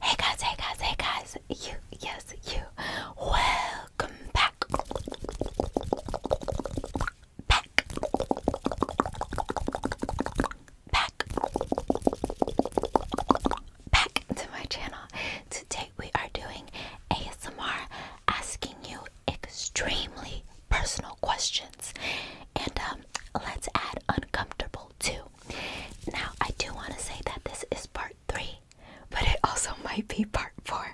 Hey guys, hey guys, hey guys, you, yes, you, welcome back, back, back, back to my channel. Today we are doing ASMR asking you extremely personal questions. And um, let's add uncomfortable too. Now, I do want to say that this is part three, but it also might be part four.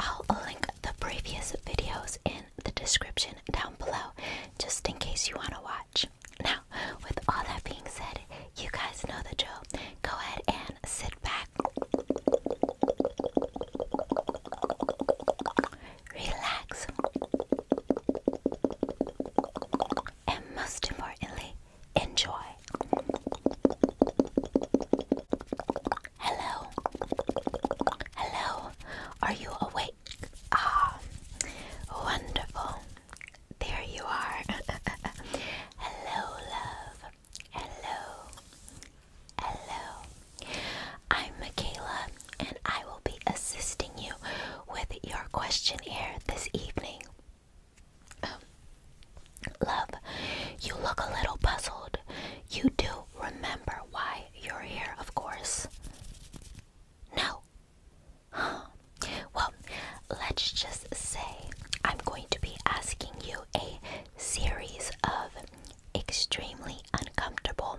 I'll link the previous videos in the description down below just in case you want to watch. Now, with all that being said, you guys know the drill. Go ahead and sit back relax, and most importantly, enjoy. Hello, hello, are you awake? Ah, wonderful. There you are. hello, love. Hello. Hello. I'm Michaela, and I will be assisting you with your questionnaire this evening. Um, love, you look a little puzzled. You do remember why you're here, of course. No. Well, let's just say I'm going to be asking you a series of extremely uncomfortable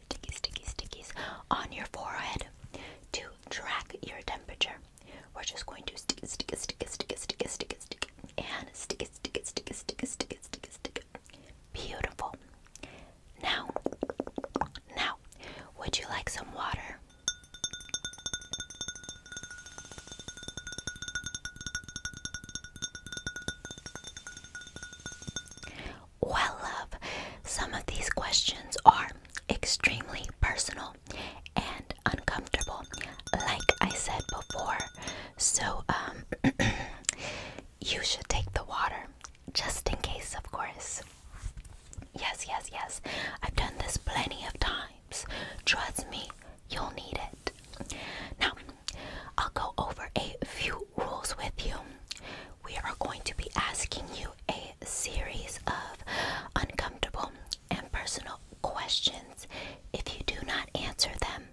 sticky, sticky, sticky, stickies on your forehead to track your temperature. We're just going to stick it, stick it, stick it, stick it, stick it, stick it, stick it, and stick it, stick it, stick it, stick it, stick it, stick it, stick it. Beautiful. Now, now, would you like some water? Well, love, some of these questions are extremely personal and uncomfortable, like I said before. So, um, you should take the water, just in case, of course. Yes, yes, yes. I've done this plenty of times. Trust me, you'll need it. Now, I'll go over a few rules with you we are going to be asking you a series of uncomfortable and personal questions. If you do not answer them,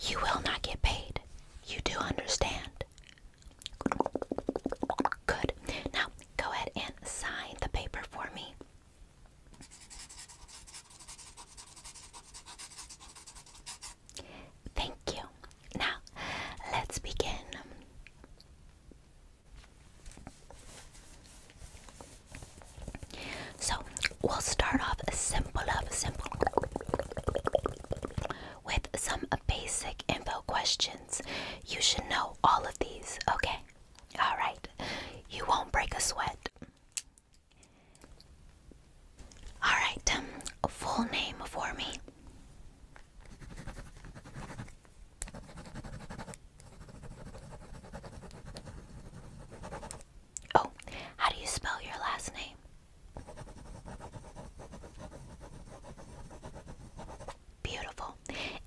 you will not get paid. You do understand. Good. Now, go ahead and sign the paper for me. Thank you. Now, let's begin. So, we'll start off simple of simple with some basic info questions. You should know all of these, okay? All right. You won't break a sweat. All right. Um, full name for me. Oh, how do you spell your last name? Beautiful.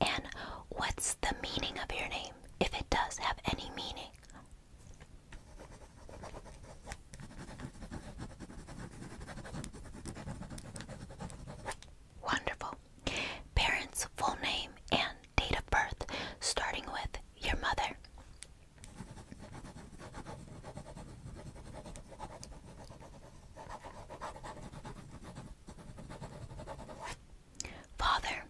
And what's the meaning of your name, if it does have any meaning? Wonderful. Parents' full name and date of birth, starting with your mother. Father.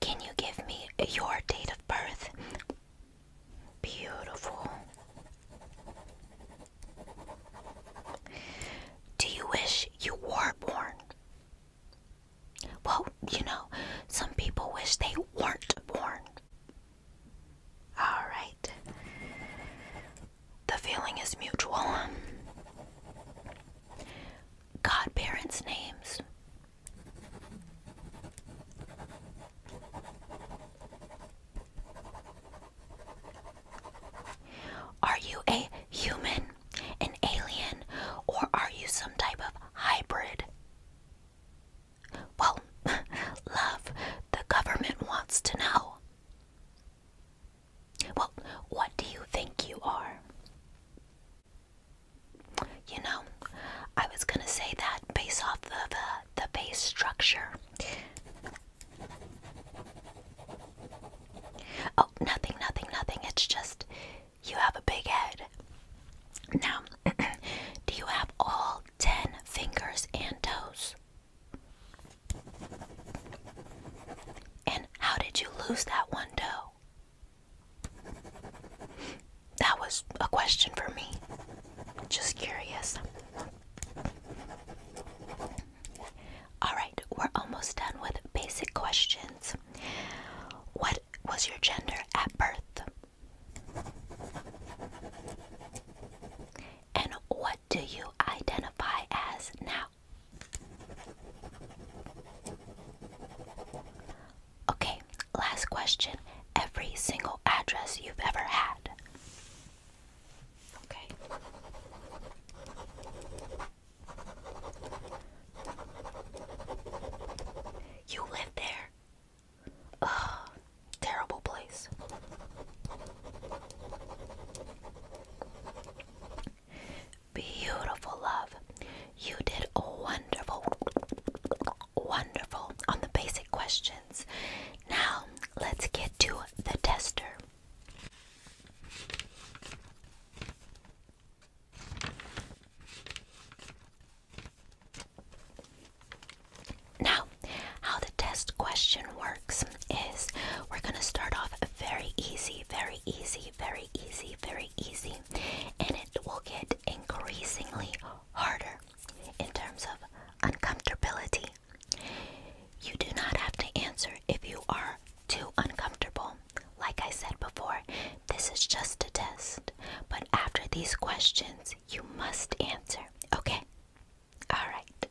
Can you give me your date of birth? Beautiful. Do you wish you were born? Well, you know, some people wish they weren't born. Alright. The feeling is mutual godparents' names? Are you a human, an alien, or are you some type of hybrid? Well, love, the government wants to know. Well, what do you think you are? You know, I was gonna say that based off of uh, the base structure. Oh, nothing, nothing, nothing. It's just you have a big head. Now, do you have all ten fingers and toes? And how did you lose that one toe? That was a question for me. Just curious. Alright, we're almost done with basic questions. What was your gender at birth? And what do you identify as now? Okay, last question. Every single address you've ever had. Okay. You live there. Ugh, terrible place. Beautiful love. You did wonderful, wonderful on the basic questions. Now let's get to the tester. Now, how the test question works is we're going to start off very easy, very easy, very easy, very easy and it will get increasingly harder in terms of uncomfortability. You do not have to answer if you are too uncomfortable. Like I said before, this is just a test, but after these questions, you must answer, okay? Alright.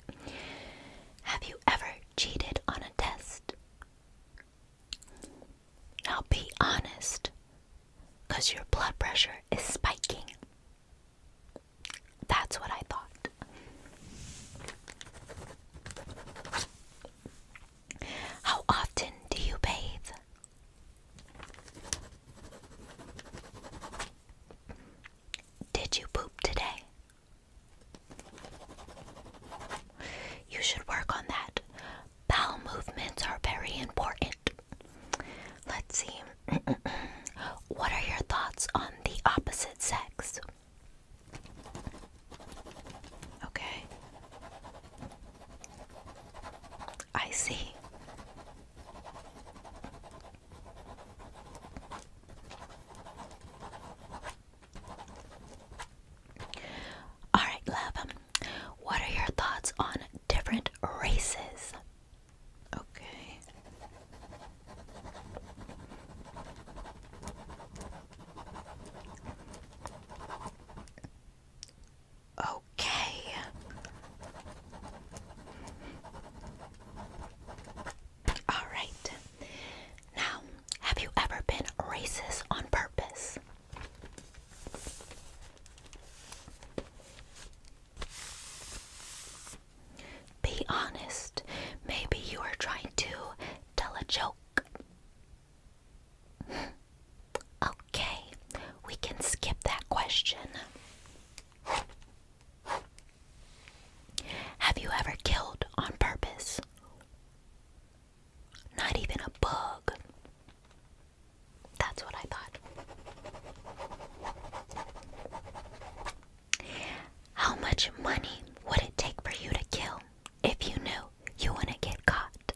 Have you ever cheated on a test? Now be honest, because your blood pressure is spiking. That's what I thought. How often do you bathe? Did you poop today? You should work on that. Bowel movements are very important. Let's see. what are your thoughts on the opposite sex? Okay. I see. All right, love. Um, what are your thoughts on different races? Okay. Okay. All right. Now, have you ever been racist on purpose? Be honest. Maybe you are trying to tell a joke. okay, we can skip that question. Have you ever killed on purpose? Not even a bug. That's what I thought. How much money would it take for you to kill if you knew you wouldn't get caught?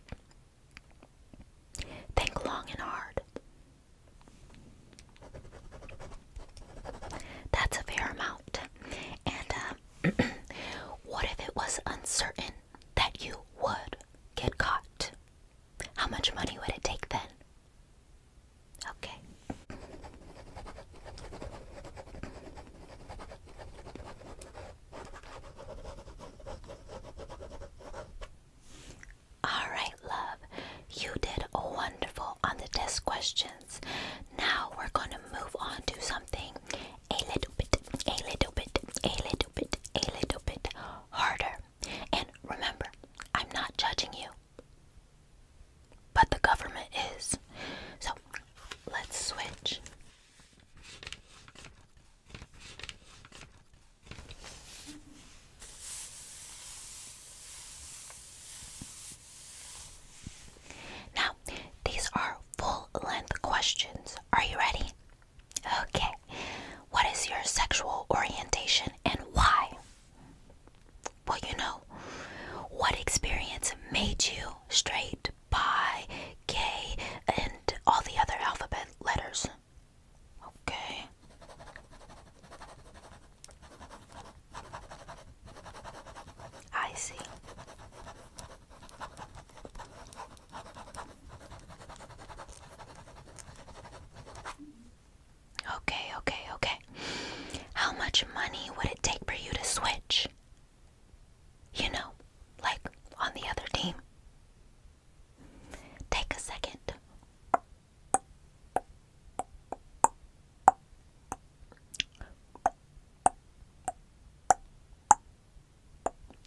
Think long and hard. That's a fair amount. And um, what if it was uncertain that you would get caught? How much money would it take then? Okay. All right, love. You did wonderful on the test questions. Now we're gonna move on to something a little bit, a little bit, a little bit, a little bit harder. And remember, I'm not judging you, but the government is. So let's switch. Now, these are full length questions. Are you ready? Okay. What is your sexual orientation and why? Well, you know, what experience made you straight, bi, gay, and all the other alphabet letters? Okay. I see. Okay, okay, okay. How much money would it take for you to switch? You know, like on the other team. Take a second.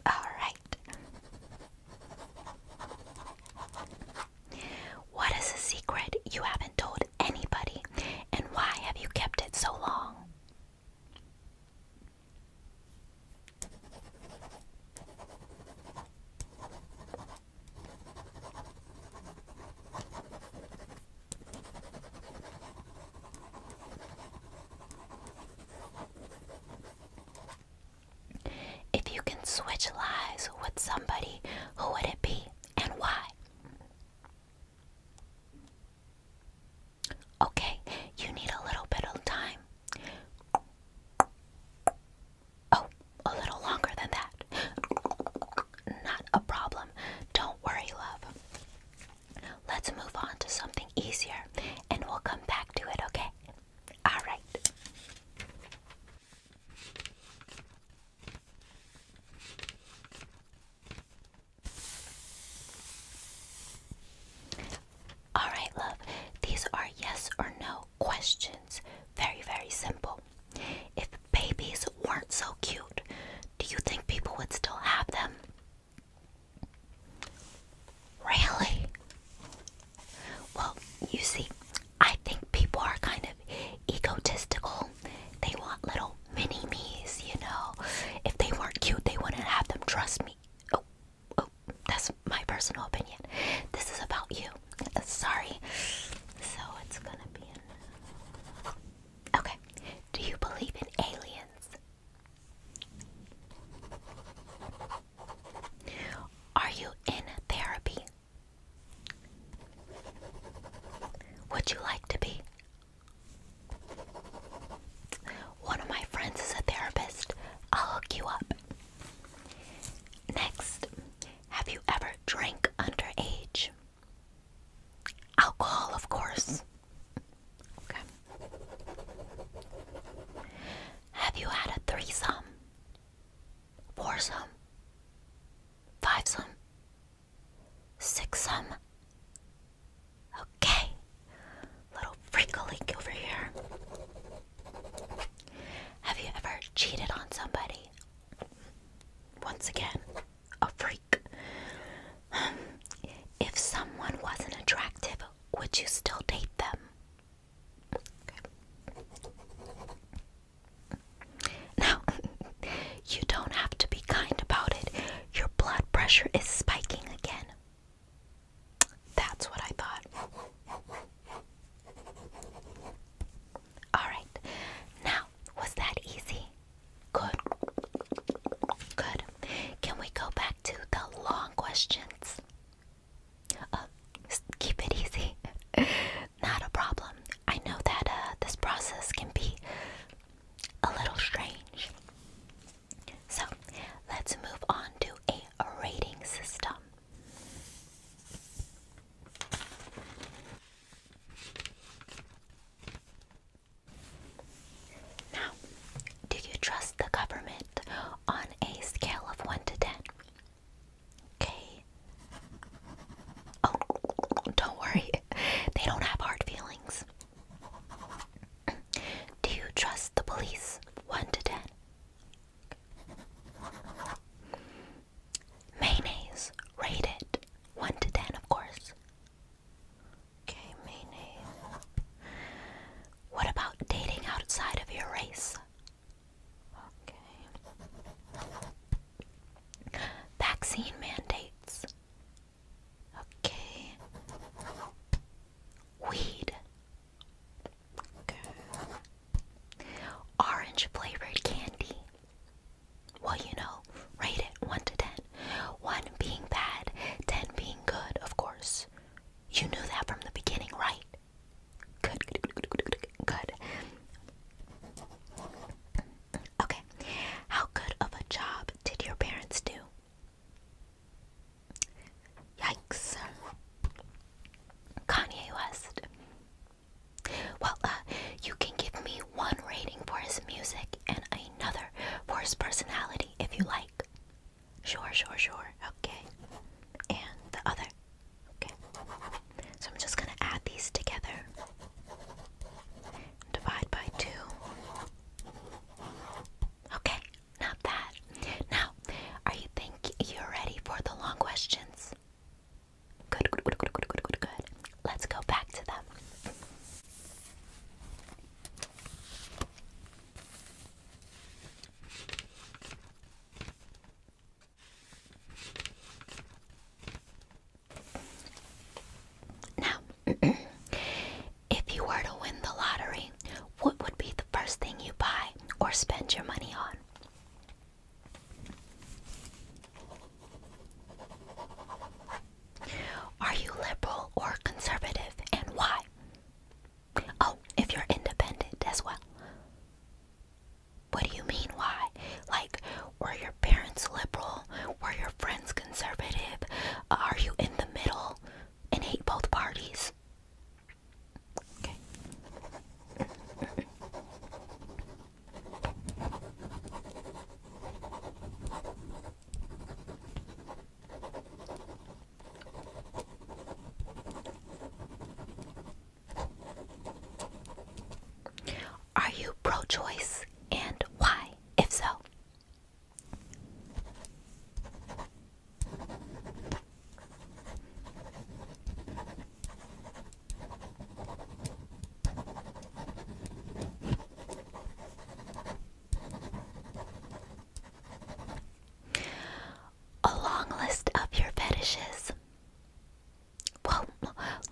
All right. What is a secret you haven't told anybody, and why have you kept it so long? If you can switch lives with somebody, who would it be and why? Okay, you need a little bit of time. Oh, a little longer than that. Not a problem. Don't worry, love. Let's move on to something easier and we'll come back to it, okay? All right. All right, love. These are yes or no questions. Very, very simple. If babies weren't so cute, do you think people would still have them? Really? Well, you see, I think people are kind of egotistical. They want little mini me's, you know. If they weren't cute, they wouldn't have them, trust me. Oh, oh, that's my personal opinion. This is about you. Sorry. So it's gonna be Okay. Do you believe in aliens? Are you in therapy? Would you like to be? One of my friends is a therapist. I'll hook you up. Next, have you ever drank underage? Alcohol, of course. Okay. Have you had a threesome? Foursome? Fivesome? Sixsome? Okay. Little freak over here. Have you ever cheated on somebody? Once again, a freak. If someone wasn't attractive, would you still date them? Now, you don't have to be kind about it. Your blood pressure is spiking again. That's what I thought. Alright, now was that easy? Good. Good. Can we go back to the long questions? Uh, keep it easy. Not a problem. I know that uh, this process can be a little strange. So let's move on to a rating system. Now, do you trust the government on a scale of 1 to 10? Okay. Oh, don't worry. They don't have hard feelings. Do you trust the police? 1 to 10. Mayonnaise. Rate it. 1 to 10, of course. Okay, mayonnaise. What about dating outside of your race? Okay. Vaccine mandates. Okay. Weed. Okay. Orange flavored candy. Well, you know, rate it 1 to 10. 1 being bad, 10 being good, of course. You knew that from the beginning, right? Good, good, good, good, good, good. Okay. How good of a job did your parents do? Yikes. Kanye West. Well, uh, you can give me one rating for his music and another for his personality if you like. Sure, sure, sure. Okay. And the other. Okay. So I'm just going to add these together. Divide by 2. Okay, not bad. Now, are you think you're ready for the long questions? Good, good, good, good, good, good, good, Let's go back to them. Now, if you were to win the lottery, what would be the first thing you buy or spend your money on? Are you liberal or conservative and why? Oh, if you're independent as well. What do you mean why? Like, were your parents liberal? Were your friends conservative? Are you in the middle and hate both parties? Are you pro choice and why? If so, a long list of your fetishes. Well,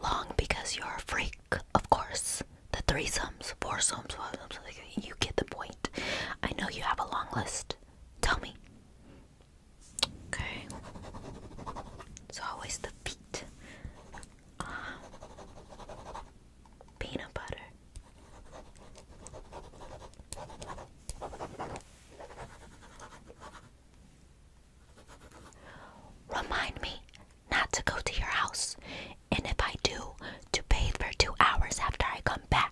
long because you're a freak, of course. The threesomes, foursomes, you get the point. I know you have a long list. Tell me, Okay. So always the beat, ah. peanut butter. Remind me not to go to your house, and if I do, to bathe for two hours after I come back.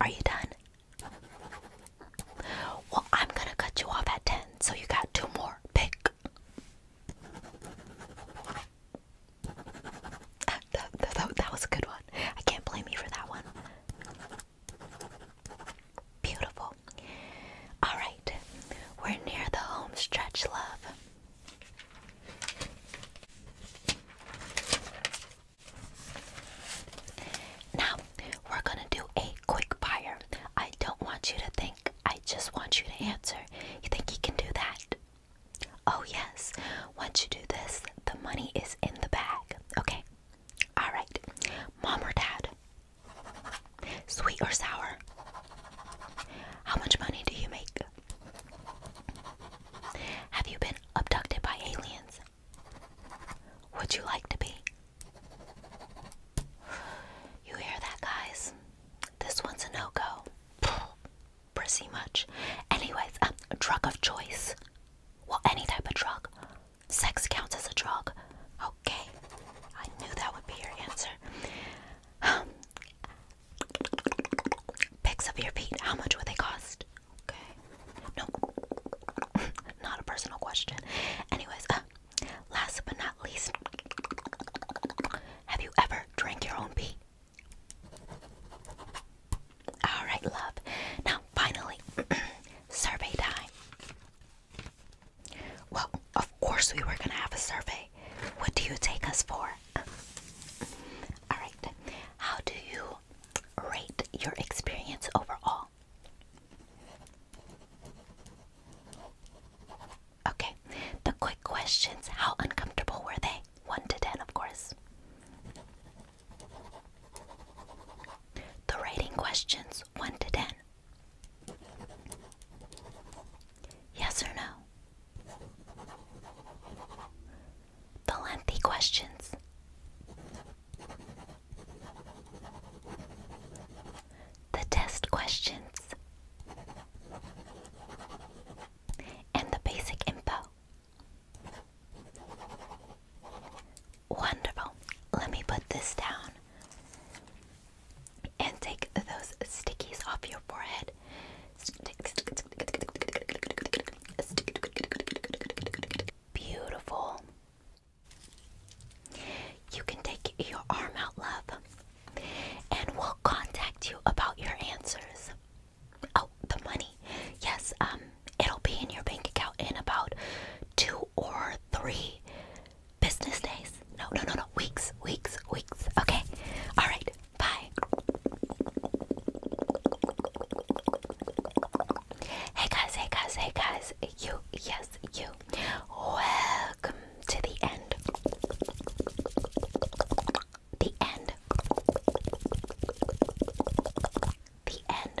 Are you done? Well, I'm going to cut you off at 10, so you got two more. Pick. Ah, that, that, that, that was a good one. I can't blame you for that one. Beautiful. All right. We're near the home stretch, love. Now, we're going to do a quick fire. I don't want you to think, I just want you to answer. You think you can do that? Oh, yes. Once you do this, the money is in the bag. Okay? Alright. Mom or dad? Sweet or sour? How much money do you make? Have you been abducted by aliens? Would you like to be? You hear that, guys? This one's a no go. Pretty much. Anyways, um, drug of choice. Well, any type of drug. Sex counts as a drug. Okay. I knew that would be your answer. Picks up your feet. How much would they cost? Okay. No. not a personal question. Anyways, uh, last but not least, have you ever drank your own pee? All right, love. Now, finally, survey time. Well, of course, we were gonna have a survey. What do you take us for? Alright, how do you rate your experience overall? Okay, the quick questions how uncomfortable were they? 1 to 10, of course. The rating questions 1 to 10. Yes or no? The lengthy questions. The test questions. And the basic info. Wonderful. Let me put this down and take those stickies off your forehead. Beautiful. You can take your arm out, love, and we'll contact you about your answers. Oh, the money. Yes, um, it'll be in your bank account in about two or three business days. No, no, no, no. Weeks, weeks, weeks. Okay. All right. Bye. Hey guys, hey guys, hey guys. You, yes, you. Welcome to the end. The end. The end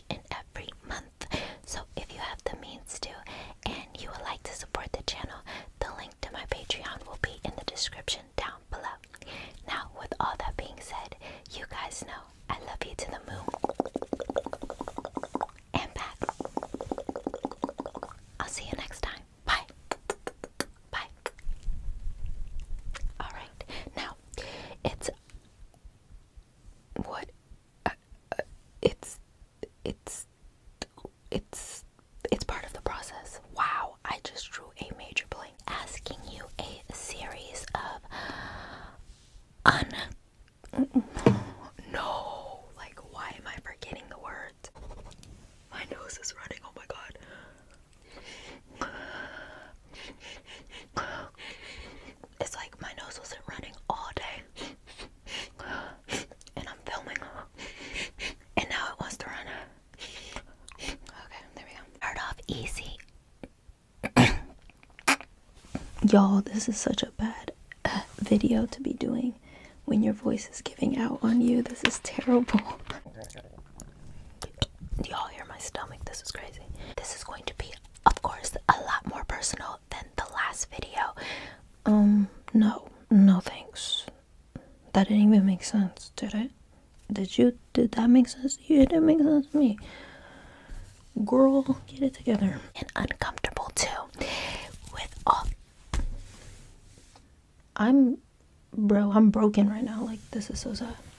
each and every month. So if you have the means to and you would like to support the channel, the link to my Patreon will be in the description down below. Now, with all that being said, you guys know I love you to the moon and back. I'll see you next time. Bye. Bye. Alright, now it's what? Uh, uh, it's it's it's it's part of the process. Wow, I just drew a major blank. Asking you a series of un no, like why am I forgetting the words? My nose is running. Oh my god. It's like my nose wasn't running all day. And I'm filming. And now it wants to run. Okay, there we go. Start off easy. Y'all, this is such a bad uh, video to be doing when your voice is giving out on you. This is terrible. Do y'all hear my stomach? This is crazy. This is going to be, of course, a lot more personal than the last video. Um, no, no thanks. That didn't even make sense, did it? Did you? Did that make sense? You didn't make sense to me. Girl, get it together. And uncomfortable too. With I'm, bro, I'm broken right now. Like, this is so sad.